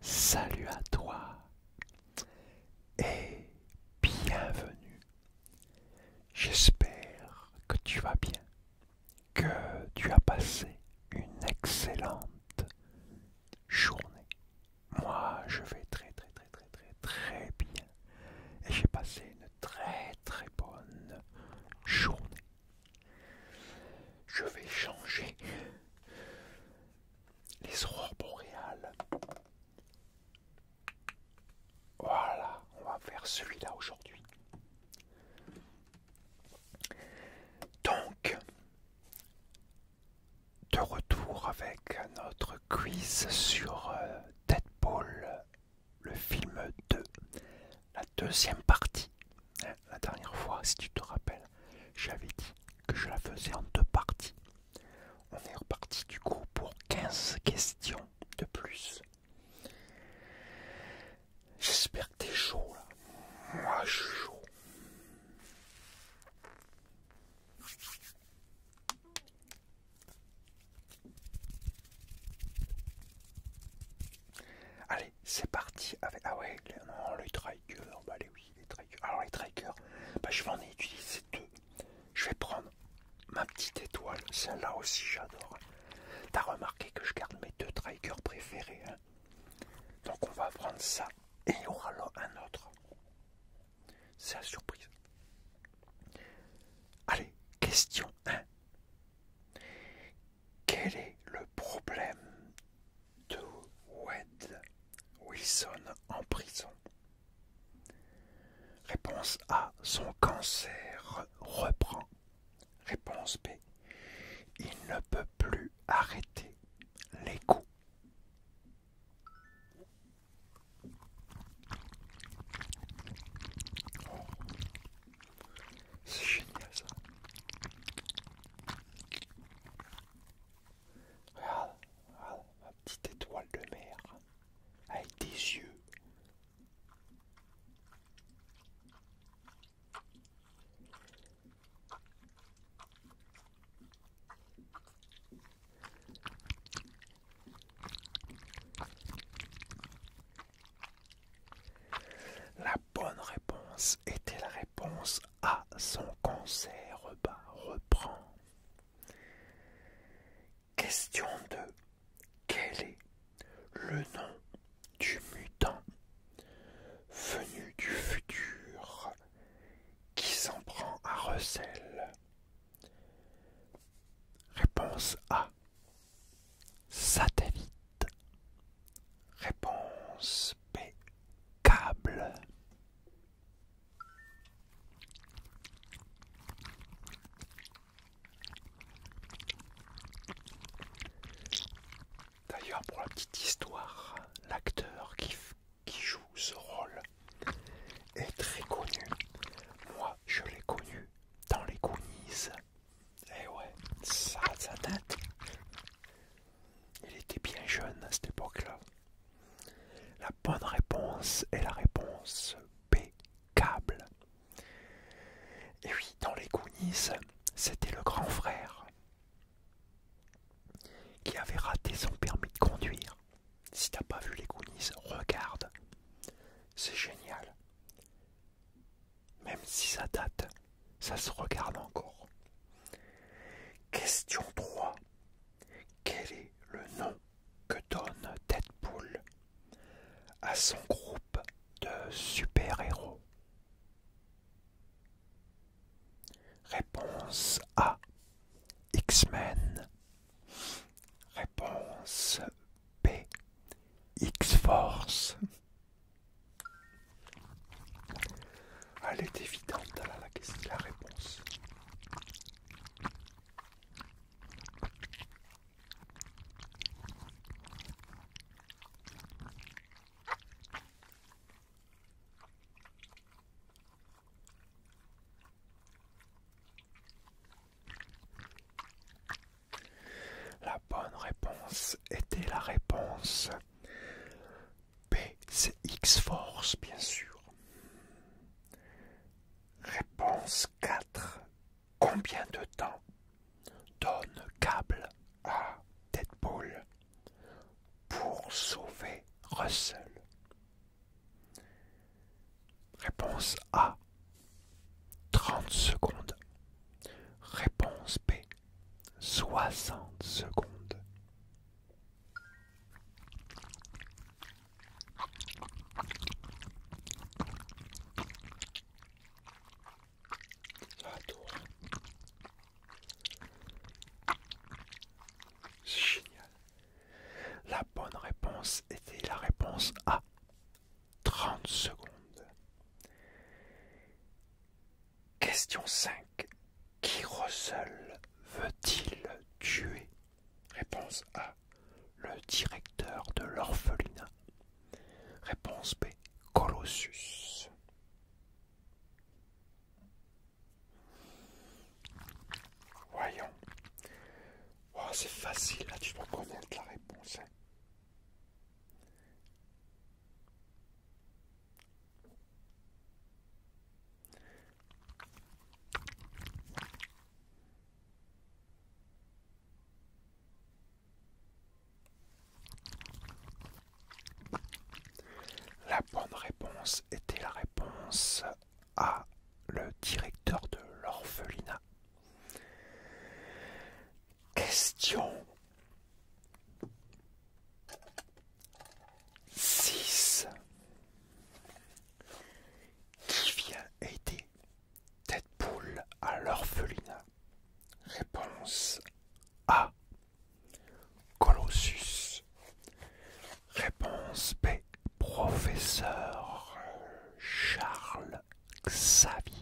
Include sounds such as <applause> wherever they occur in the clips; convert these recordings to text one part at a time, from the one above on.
salut à toi et bienvenue. J'espère que tu vas bien, que tu as passé une excellente journée. Moi, je vais très très très très très très bien et j'ai passé une très très bonne journée. Je vais changer les aurores boréales. Voilà, on va faire celui-là aujourd'hui. Donc, de retour avec notre quiz sur euh, Deadpool le film 2, la deuxième partie. Hein, la dernière fois, si tu te rappelles, j'avais dit que je la faisais en deux parties. On est reparti du coup pour 15 questions de plus. J'espère que t'es chaud Moi je suis chaud. Allez, c'est parti avec. Ah ouais, les, non, bah oui, les Alors les trikers, bah, je vais en utiliser deux. Je vais prendre ma petite étoile, celle-là aussi j'adore. T'as remarqué que je garde mes deux trikers préférés. Hein. Donc on va prendre ça et il y aura là un autre. C'est la surprise. Allez, question 1. Quel est le problème de Wed Wilson en prison Réponse A. Son cancer reprend. Réponse B. Il ne peut plus arrêter les coups. C'est génial ça. Regarde, regarde ma petite étoile de mer avec des yeux. La bonne réponse était la réponse A. Son cancer bah, reprend. Question 2. Quel est le nom du mutant venu du futur qui s'en prend à recel Réponse A. Satellite. Réponse P D'ailleurs, pour la petite histoire, l'acteur qui, joue ce rôle est très connu. Moi, je l'ai connu dans les Goonies. Eh ouais, ça, sa tête. Il était bien jeune à cette époque-là. La bonne réponse est la réponse B, Cable. Et oui, dans les Goonies, c'était le grand frère qui avait raté son permis de conduire. Si t'as pas vu les Goonies, regarde. C'est génial. Même si ça date, ça se regarde encore. Question 3. Quel est le nom que donne Deadpool à son groupe de super-héros Réponse A. X-Men. Réponse B. X-Force. Elle est évidente, à la, question, la réponse. La bonne réponse était la réponse B, c'est X-Force, bien sûr. Réponse 4. Combien de temps donne Cable à Deadpool pour sauver Russell Réponse A. 30 secondes. Réponse B. 60 secondes. Ça génial. La bonne réponse était la réponse A. 30 secondes. Question 5. Qui Russell veut-il tuer Réponse A. Le directeur de l'orphelinat. Réponse B. Colossus. Voyons. Oh, c'est facile, là tu dois connaître la réponse. Hein. La bonne réponse était la réponse à le directeur de l'orphelinat. Question 6. Qui vient aider poule à l'orphelinat Réponse A. Colossus. Réponse B. Professeur Charles. Xavier.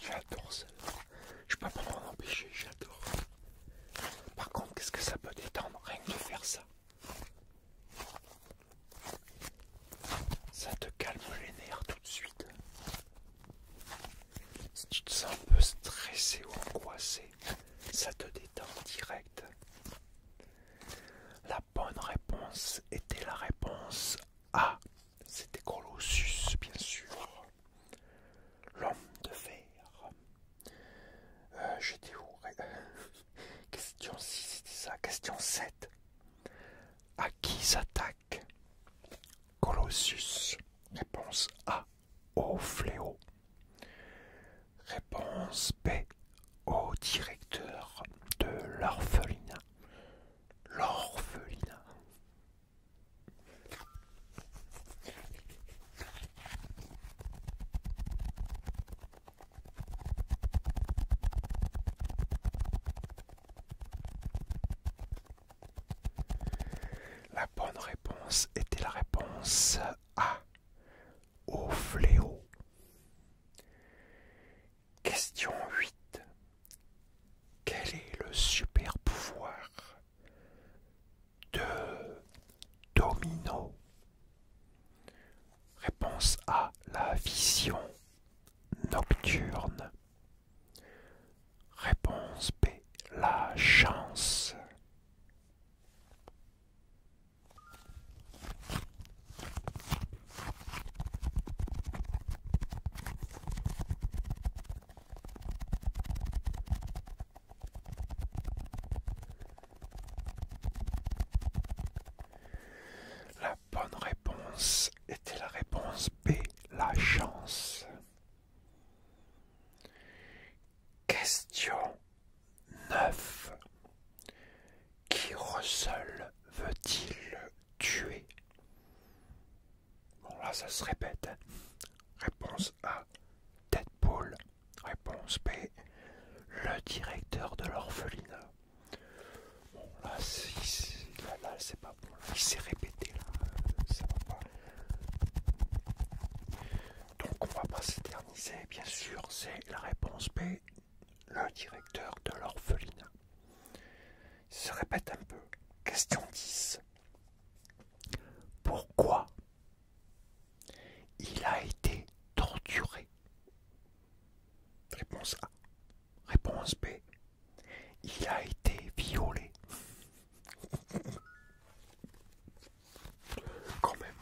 J'adore ça Je peux pas m'en empêcher, j'adore. Par contre, qu'est-ce que ça peut détendre rien que de faire ça ça te calme les nerfs tout de suite. Si tu te sens un peu stressé ou angoissé, ça te détend direct. La bonne réponse était la réponse A. C'était Colossus, bien sûr. L'homme de fer. Euh, j'étais où <laughs> Question 6, c'était ça. Question 7. À qui s'attaque Colossus Réponse A. Au fléau. Réponse B. Au directeur de l'orphelinat. L'orphelinat. La bonne réponse était la réponse A. Au fléau. Question 8. Quel est le super pouvoir de Domino Réponse A. La vision nocturne. Réponse B. La chance bonne réponse était la réponse B, la chance. Question 9. Qui Russell veut-il tuer Bon là ça se répète. Hein. Réponse A, Deadpool. Réponse B, le directeur de l'orphelinat. Bon, là, c'est pas bon. il s'est répété, là. Euh, ça va pas. Donc, on va pas s'éterniser, bien sûr. C'est la réponse B, le directeur de l'orphelinat. se répète un peu. Question 10. Pourquoi il a été torturé Réponse A. Réponse B. Il a été violé. <laughs> Quand même.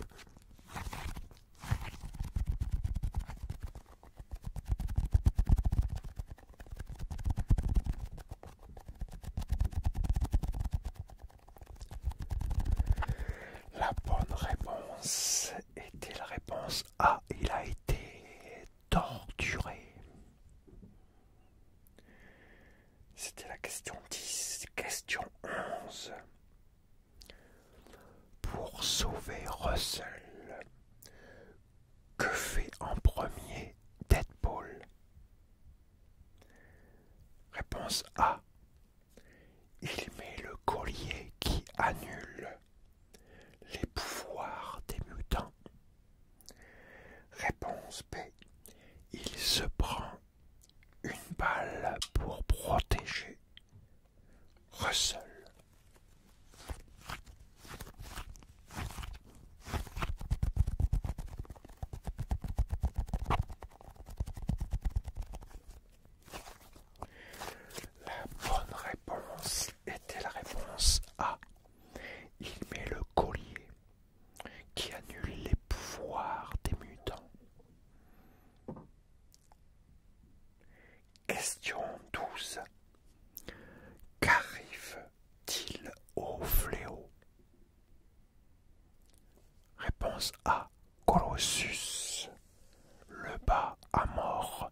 La bonne réponse était la réponse a. Ah, il a été torturé. C'était la question 10, question 11. Pour sauver Russell, que fait en premier Deadpool Réponse A. Il met le collier qui annule. Les pouvoirs des mutants. Réponse B. Il se prend une balle pour protéger Russell. La bonne réponse était la réponse A. Il met le collier qui annule les pouvoirs des mutants. Question 12. Qu'arrive-t-il au fléau Réponse A. Colossus le bas à mort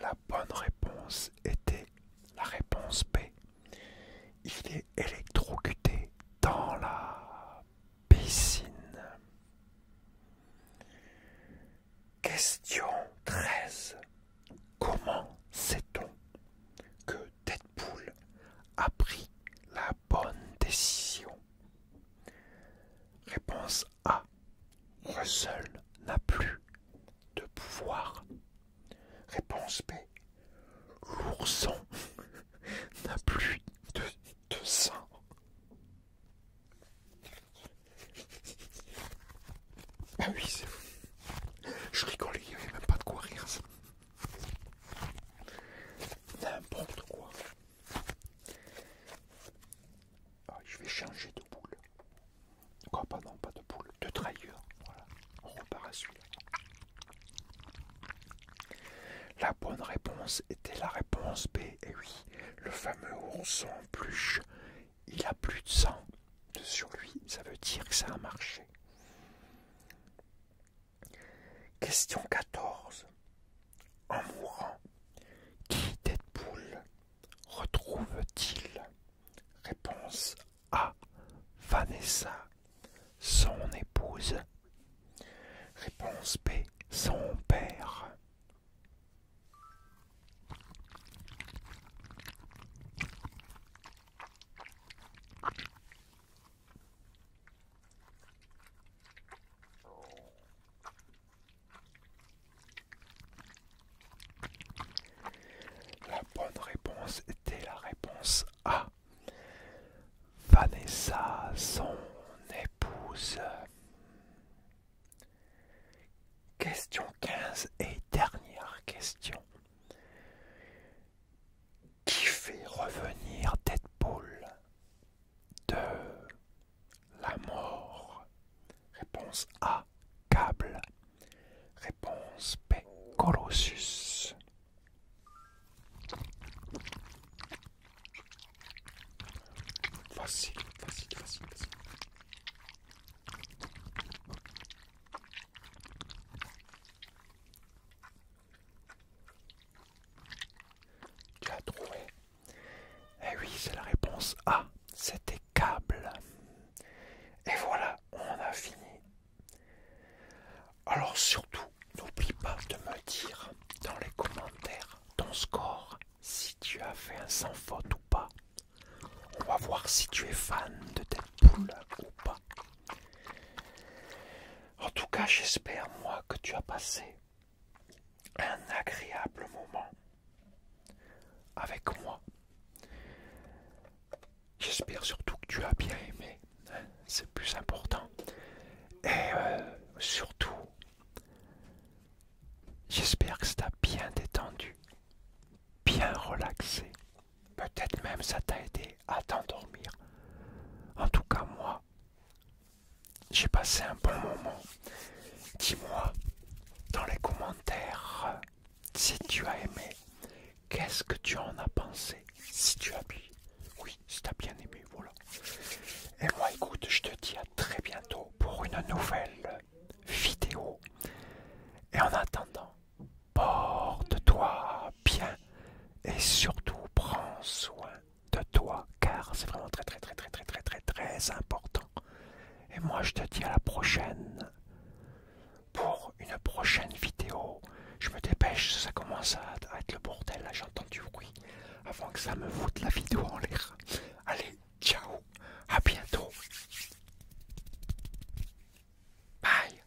La bonne réponse était la réponse B. Il est électrocuté dans la piscine. Question 13. Comment sait-on que Deadpool a pris la bonne décision Réponse A. Russell n'a plus de pouvoir. Réponse B. L'ourson <laughs> n'a plus de, sang. Ah oui, c'est Je rigole il n'y avait même pas de quoi rire. N'importe quoi. Ah, je vais changer de boule. Quoi, pas non, pas de boule, de trailleur Voilà, on repart à celui La bonne réponse était la réponse B. Et eh oui, le fameux ourson en pluche, il a plus de sang sur lui. Ça veut dire que ça a marché. Question 14. En mourant, qui Deadpool retrouve-t-il Réponse A. Vanessa, son épouse. Réponse B. Son père. La bonne réponse était la réponse A. Vanessa, son épouse. Question 15 et dernière question. Qui fait revenir Deadpool de la mort. Réponse A. Câble. Réponse B. Colossus. Facile, facile, facile, facile. Tu as trouvé Eh oui, c'est la réponse A. C'était câble. Et voilà, on a fini. Alors surtout, n'oublie pas de me dire dans les commentaires ton score, si tu as fait un sans faute ou pas. On va voir si tu es fan de Deadpool ou pas. En tout cas, j'espère, moi, que tu as passé un agréable moment avec moi. J'espère surtout que tu as bien aimé, hein, c'est plus important. Et euh, surtout, j'espère que ça t'a bien détendu, bien relaxé. Peut-être même ça t'a aidé à t'endormir. En tout cas, moi, j'ai passé un bon moment. Dis-moi dans les commentaires si tu as aimé. Qu'est-ce que tu en as pensé Si tu as bien, oui, si tu bien aimé, voilà. Et moi, écoute, je te dis à très bientôt pour une nouvelle vidéo. Et en attendant, porte-toi bien et surtout prends soin de toi, car c'est vraiment très très très très très très très très important. Et moi je te dis à la prochaine pour une prochaine vidéo. Je me dépêche, ça commence à être le bordel, là j'entends du bruit, avant que ça me voûte la vidéo en l'air. Allez, ciao, à bientôt. Bye.